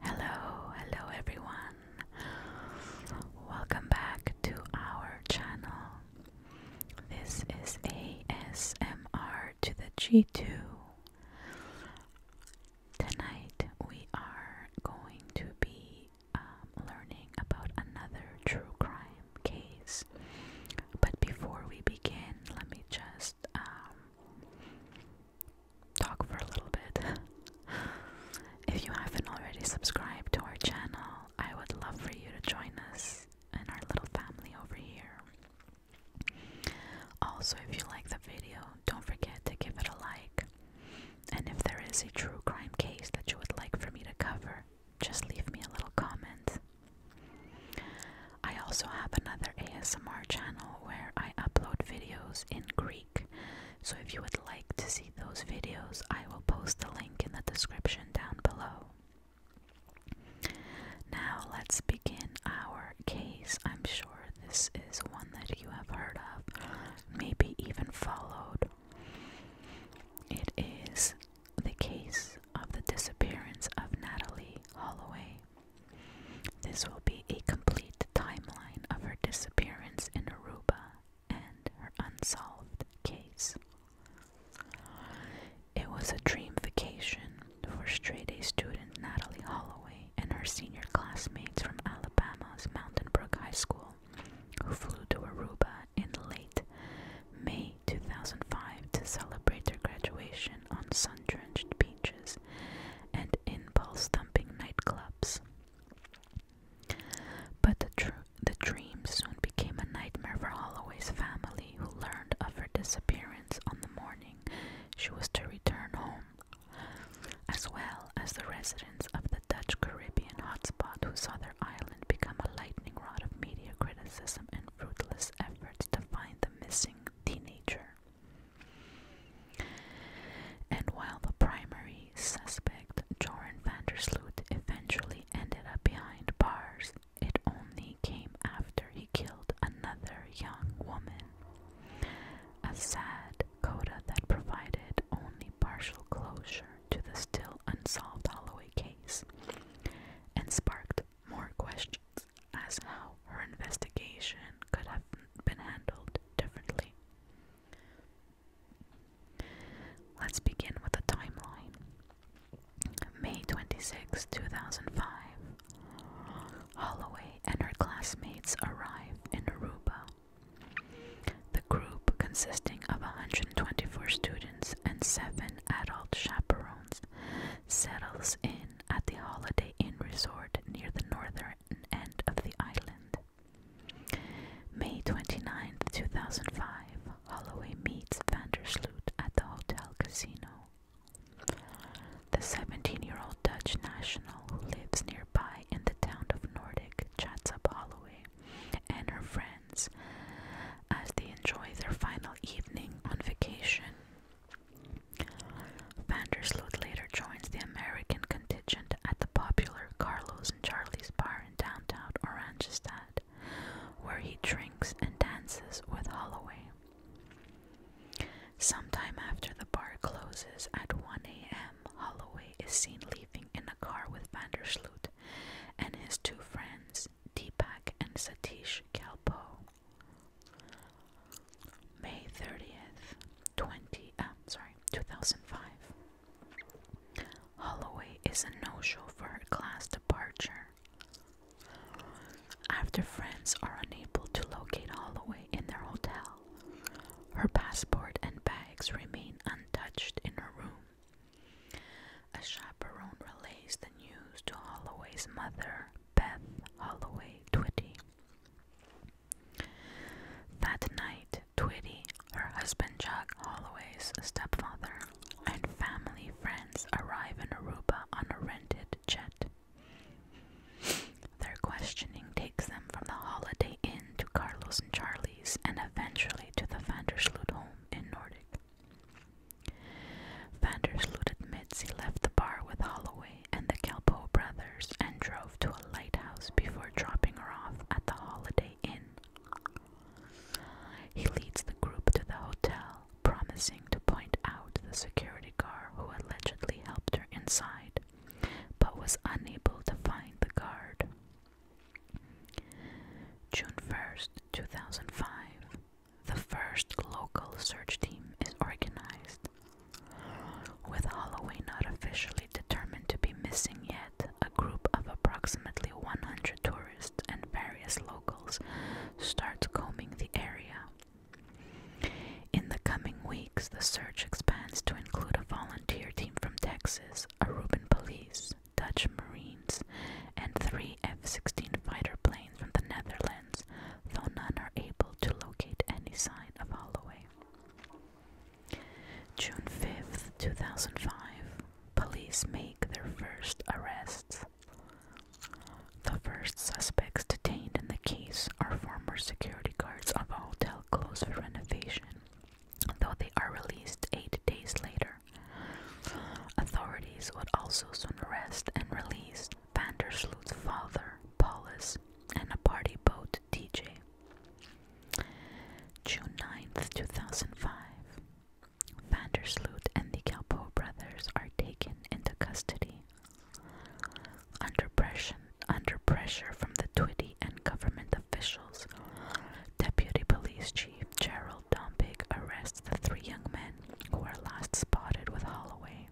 Hello, hello everyone. Welcome back to our channel. This is ASMR to the G2. Tonight we are going to be um, learning about another true crime case. But before we begin, let me just um, talk for a little bit. if you haven't already subscribed to our channel, I would love for you to join us and our little family over here. Also, if you like the video, don't forget to give it a like. And if there is a true crime case that you would like for me to cover, just leave me a little comment. I also have another ASMR channel where I upload videos in Greek, so if you would like to see those videos, I will post the link in the description down below. Now, let's begin our case. I'm sure this is one that you have heard of, maybe even followed, it is the case of the disappearance of Natalie Holloway. This will be a complete timeline of her disappearance in Aruba and her unsolved case. It was a dream vacation for straight A student Natalie Holloway and her senior classmates from Alabama's Mountain Brook High School who flew to Aruba in late May 2005 to celebrate their graduation on sun drenched beaches and in pulse thumping nightclubs. But the, the dream soon became a nightmare for Holloway's family, who learned of her disappearance on the morning she was to return home, as well as the residents of the the Dutch Caribbean hotspot who saw their island become a lightning rod of media criticism and fruitless efforts to find the missing teenager. And while the primary suspect, Joran van der Sloot eventually ended up behind bars, it only came after he killed another young woman. A sad coda that provided only partial closure to the still unsolved Holloway case and sparked more questions as to how her investigation could have been handled differently. Let's begin with a timeline. May 26, 2005. Holloway and her classmates arrive in Aruba the group, consisting of 124 students and seven adult chaperones, settles in at the Holiday Inn Resort near the northern end of the island. May 29, 2005, Holloway meets Vandersloot at the Hotel Casino. The 17 year old Dutch national who lives near nearby in the town of Nordic chats up Holloway and her friends as they enjoy their final evening on vacation. Vandersloot later joins the American contingent at the popular Carlos and Charlie's bar in downtown Oranjestad, where he drinks and dances with Holloway. Sometime after the bar closes at 1 a.m., Holloway is seen leaving in a car with Vandersloot and his two friends, Deepak and Satish Kalpo. May 30th, 20, uh, sorry, 2005. Holloway is a no-show for her class departure. After friends are unable to locate Holloway in their hotel, her passport and bags remain untouched in her room. A chaperone relays the news to Holloway's mother, Beth Holloway Twitty. That night, Twitty, her husband Jack Holloway's stepfather, and family friends arrive in Aruba on a rented jet. Their questioning takes them from the Holiday Inn to Carlos and Charlie's and eventually to the Vandersloot home in Nordic. Vandersloot admits he left the bar with Holloway and the Kelpo brothers and drove to a lighthouse before dropping her off at the Holiday Inn. He leads the group to the hotel, promising to point out the security guard who allegedly helped her inside but was unable to find the guard. June 1st, 2005. The first local search team is organized. With Holloway not officially determined to be missing yet, a group of approximately 100 tourists and various locals start combing the area. In the coming weeks, the search expands to include a volunteer team from Texas, Aruban Police, Dutch Marines, and three F 16 fighter planes from the Netherlands, though none are able to locate any sign of Holloway. June 5, 2005, police make their first arrests. The first suspects detained in the case are former security guards of a hotel. Close for renovation, though they are released eight days later. Authorities would also soon arrest and release Vandersloot's father, Paulus, and a party boat, DJ. June 9th, 2005. Vandersloot and the Calpo brothers are taken into custody. Under pressure, from the Twitty and government officials, Deputy Police Chief Gerald Dombig arrests the three young men who were last spotted with Holloway.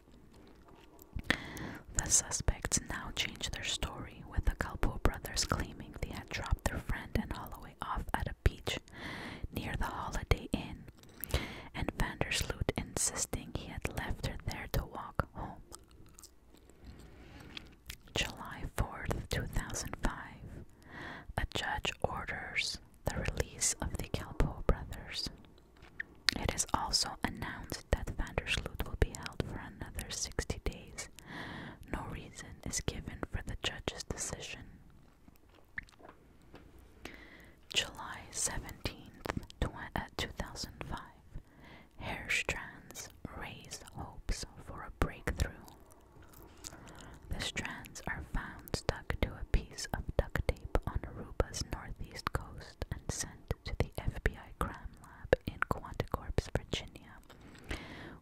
The suspects now change their story, with the Calpo brothers claiming they had dropped their friend and Holloway off at a beach near the Holiday Inn, and Vandersloot insisting he had left her there to walk home July 4th, 2005, a judge orders the release of the Calpo brothers. It is also announced that Vandersloot will be held for another 60 days. No reason is given for the judge's decision. July 17th, 2005, uh, Hair strands raise hopes for a breakthrough. The strands are found stuck to a piece of duct tape on Aruba's northeast coast and sent to the FBI crime lab in Quanticorp's Virginia,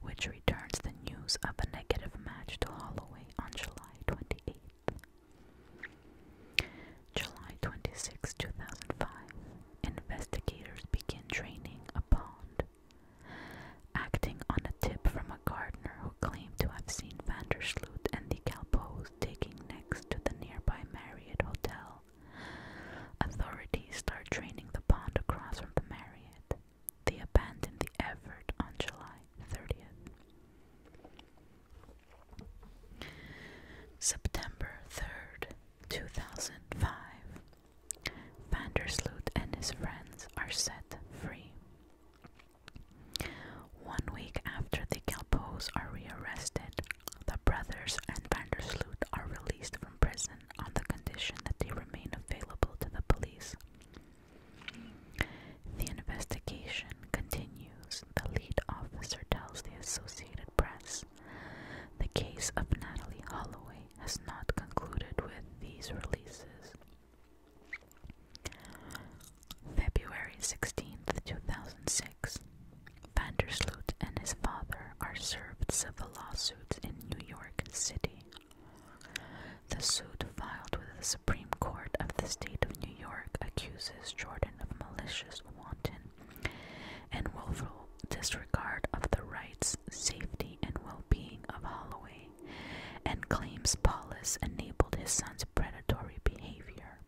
which returns the news of a negative match to Holloway on July twenty eighth. July 26, 2005. Investigators begin draining a pond. Acting on a tip from a gardener who claimed to have seen Vandersloot and the Calpoes taking next to the nearby Marriott Hotel, authorities start draining the pond across from the Marriott. They abandon the effort on July 30th. September 3rd, 2005. Vandersloot and his friends are set free. One week after the Galpos are rearrested, the brothers and Vandersloot are released from prison on the condition that they remain available to the police. The investigation continues, the lead officer tells the Associated Press the case of Natalie Holloway has not concluded with these releases. February 16, 2006. Vandersloot and his father are served civil lawsuits in New York City. The suit filed with the Supreme Court of the State of New. New York accuses Jordan of malicious, wanton, and willful disregard of the rights, safety, and well being of Holloway, and claims Paulus enabled his son's predatory behavior.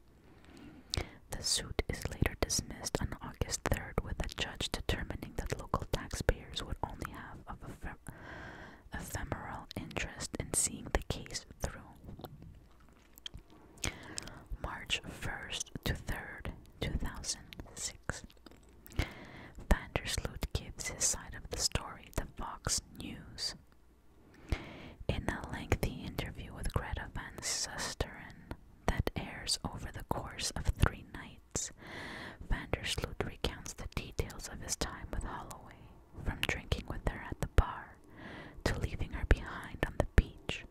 The suit is later dismissed on August 3rd, with a judge determining that local taxpayers would only have a ephemeral interest in seeing the case through. March 1st to 3rd, 2006. Vandersloot gives his side of the story to Fox News. In a lengthy interview with Greta Van Susteren that airs over the course of three nights, Vandersloot recounts the details of his time with Holloway from drinking with her at the bar to leaving her behind on the beach,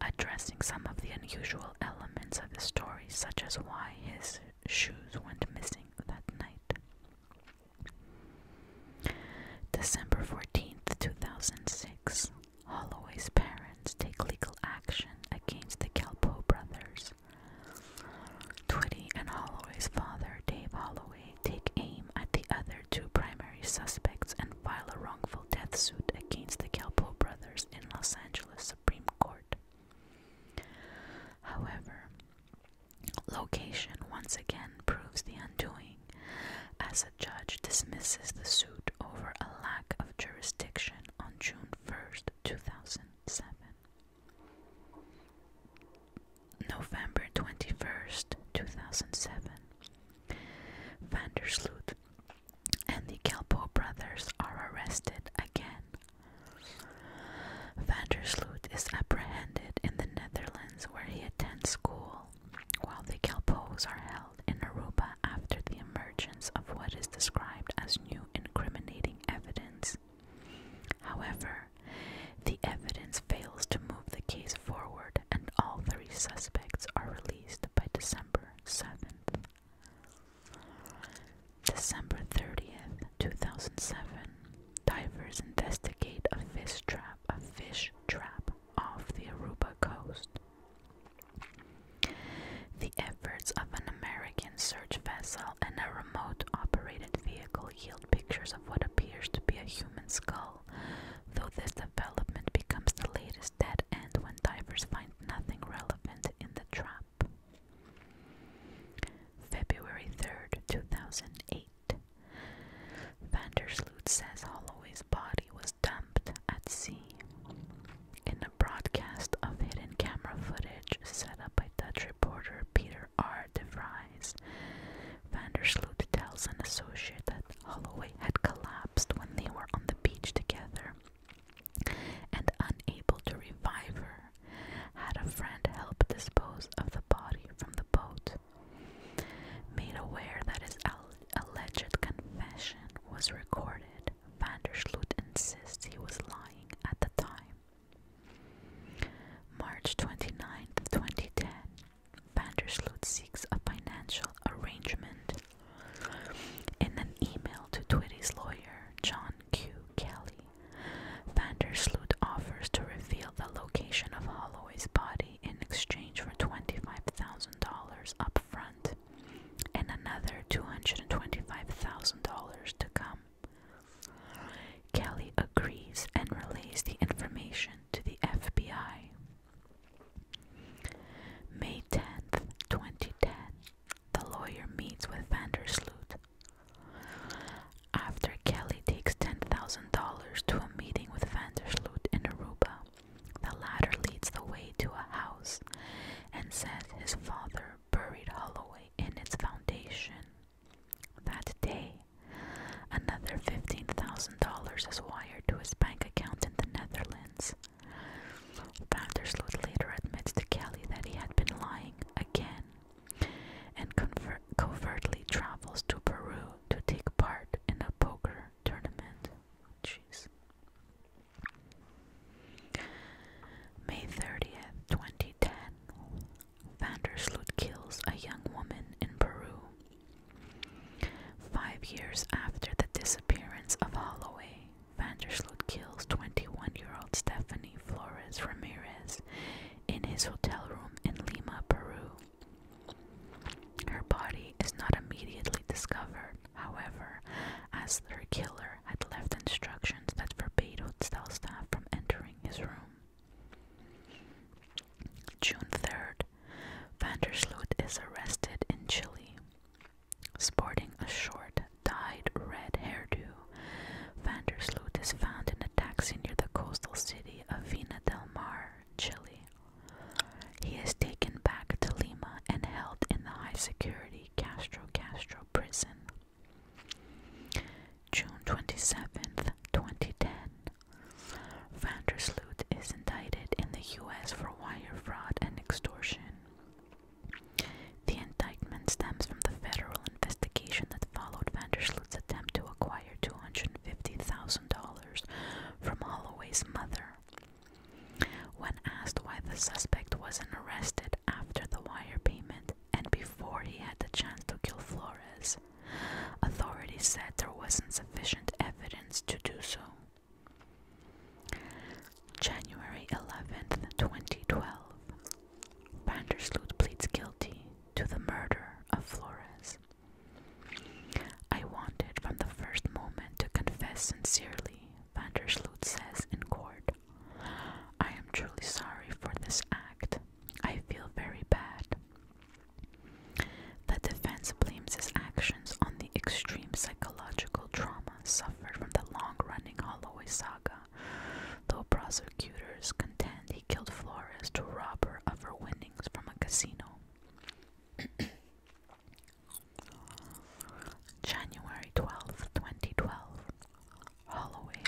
addressing some of the unusual elements of the story, such as why his shoes went missing that night. December 14th, 2006. Holloway's parents take legal action against the Calpo brothers. Twitty and Holloway's father, Dave Holloway, take aim at the other two primary suspects and file a wrongful death suit against the Calpo brothers in Los Angeles Supreme Court. However, location once again proves the undoing, as a judge dismisses the suit over a lack of jurisdiction on June 1st, 2007. November 21st, 2007. Vandersloot and the Kelpo brothers are arrested again. Vandersloot is apprehended in the Netherlands where he attends school, while the Kelpos are held in Aruba after the emergence of what is described as new incriminating evidence. However, the evidence fails to move the case forward, and all three suspects are released by December 7th. December 30th, 2007, divers investigate a fish trap, a fish trap off the Aruba coast. The efforts of an American search vessel and a remote operated vehicle still pictures of what appears to be a human skull, though this development becomes the latest dead end when divers find nothing relevant in the trap. February 3rd, 2008. Vandersloot says Holloway's body was dumped at sea. In a broadcast of hidden camera footage set up by by Dutch reporter Peter R. de Vries. Vandersloot tells an associate that Holloway had collapsed when they were on the beach together and unable to revive her, had a friend help dispose of the body from the boat. Made aware that his alleged confession was recorded, Vandersloot insists he was lying at the time. March 29, 2010, Vandersloot seeks a financial arrangement. In an email to Twitty's lawyer, John Q. Kelly, Vandersloot offers to reveal the location of Holloway's body in exchange for $25,000 up front and another $225,000 to come. Kelly agrees and relays the information to the FBI. May 10th, 2010, the lawyer meets with Vandersloot. After Kelly takes $10,000 to a meeting with Vandersloot in Aruba, the latter leads the way to a house and says his father buried Holloway in its foundation. That day, another $15,000 is wired to his bank account in the Netherlands. Vandersloot later admits to Kelly that he had been lying again and covertly travels to Peru to take part in a poker tournament. Oh, jeez. May 30th, 2010, Vandersloot kills a young woman in Peru. Five years after the disappearance of Holloway, Vandersloot kills 21 year old Stephanie Flores Ramirez in his hotel room in Lima, Peru. Her body is not immediately discovered, however, as her killer had left instructions that forbade hotel staff from June 3rd, Vandersloot is arrested in Chile. Sporting a short, dyed red hairdo, Vandersloot is found in a taxi near the coastal city of Vina del Mar, Chile. He is taken back to Lima and held in the high security Castro Castro prison. June twenty seventh, 2010. Vandersloot is indicted in the U.S. for wire fraud and extortion. The indictment stems from the federal investigation that followed Vandersloot's attempt to acquire $250,000 from Holloway's mother. When asked why the suspect wasn't arrested after the wire payment, and before he had the chance to kill Flores, authorities said there wasn't sufficient evidence to do so. January 11, 2012, Vandersloot pleads guilty to the murder of Flores. I wanted from the first moment to confess sincerely, Vandersloot says in court. I am truly sorry for this act. I feel very bad. The defense blames his actions on the extreme psychological trauma suffered from the long running Holloway saga, though prosecutors contend he killed Flores to rob her of her winnings from a casino. January twelfth, 2012. Holloway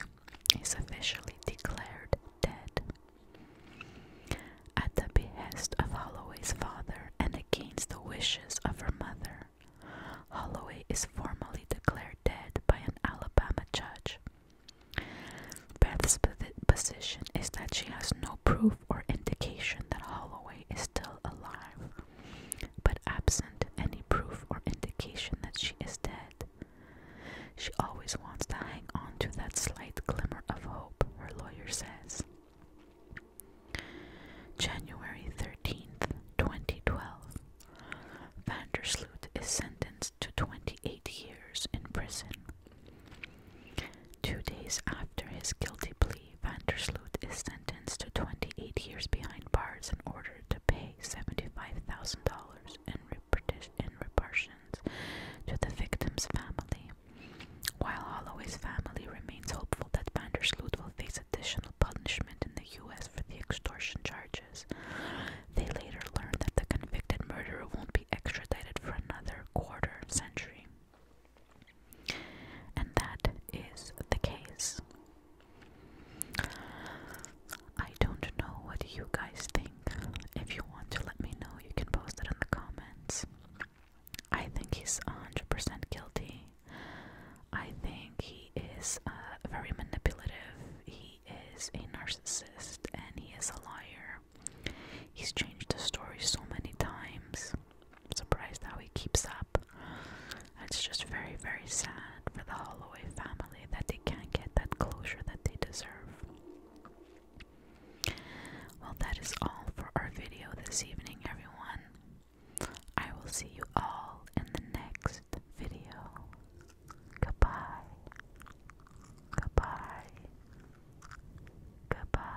is officially declared dead. At the behest of Holloway's father and against the wishes of her mother, Holloway is formally declared dead by an Alabama judge. Beth's position is that she has no proof or indication that Holloway is still alive, but absent any proof or indication that she is dead. She always wants to hang on to that slight glimmer of hope, her lawyer says. January 13th, 2012. Vandersloot is sentenced to 28 years in prison. Two days after his guilty plea, Vandersloot is sentenced to 28 years behind bars in order to pay $75,000 in, in repercussions to the victim's family. While Holloway's family remains hopeful that Vandersloot will face additional punishment in the U.S. for the extortion charges, they later learned that the convicted murderer won't be extradited for another quarter century. And that is the case. I don't know what you guys think. If you want to let me know, you can post it in the comments. I think he's 100% guilty. I think he is uh, very manipulative. He is a narcissist and he is a liar. He's changed the story so many times surprised how he keeps up. It's just very, very sad for the Holloway family that they can't get that closure that they deserve. Well, that is all for our video this evening, everyone. I will see you all in the next video. Goodbye. Goodbye. Goodbye.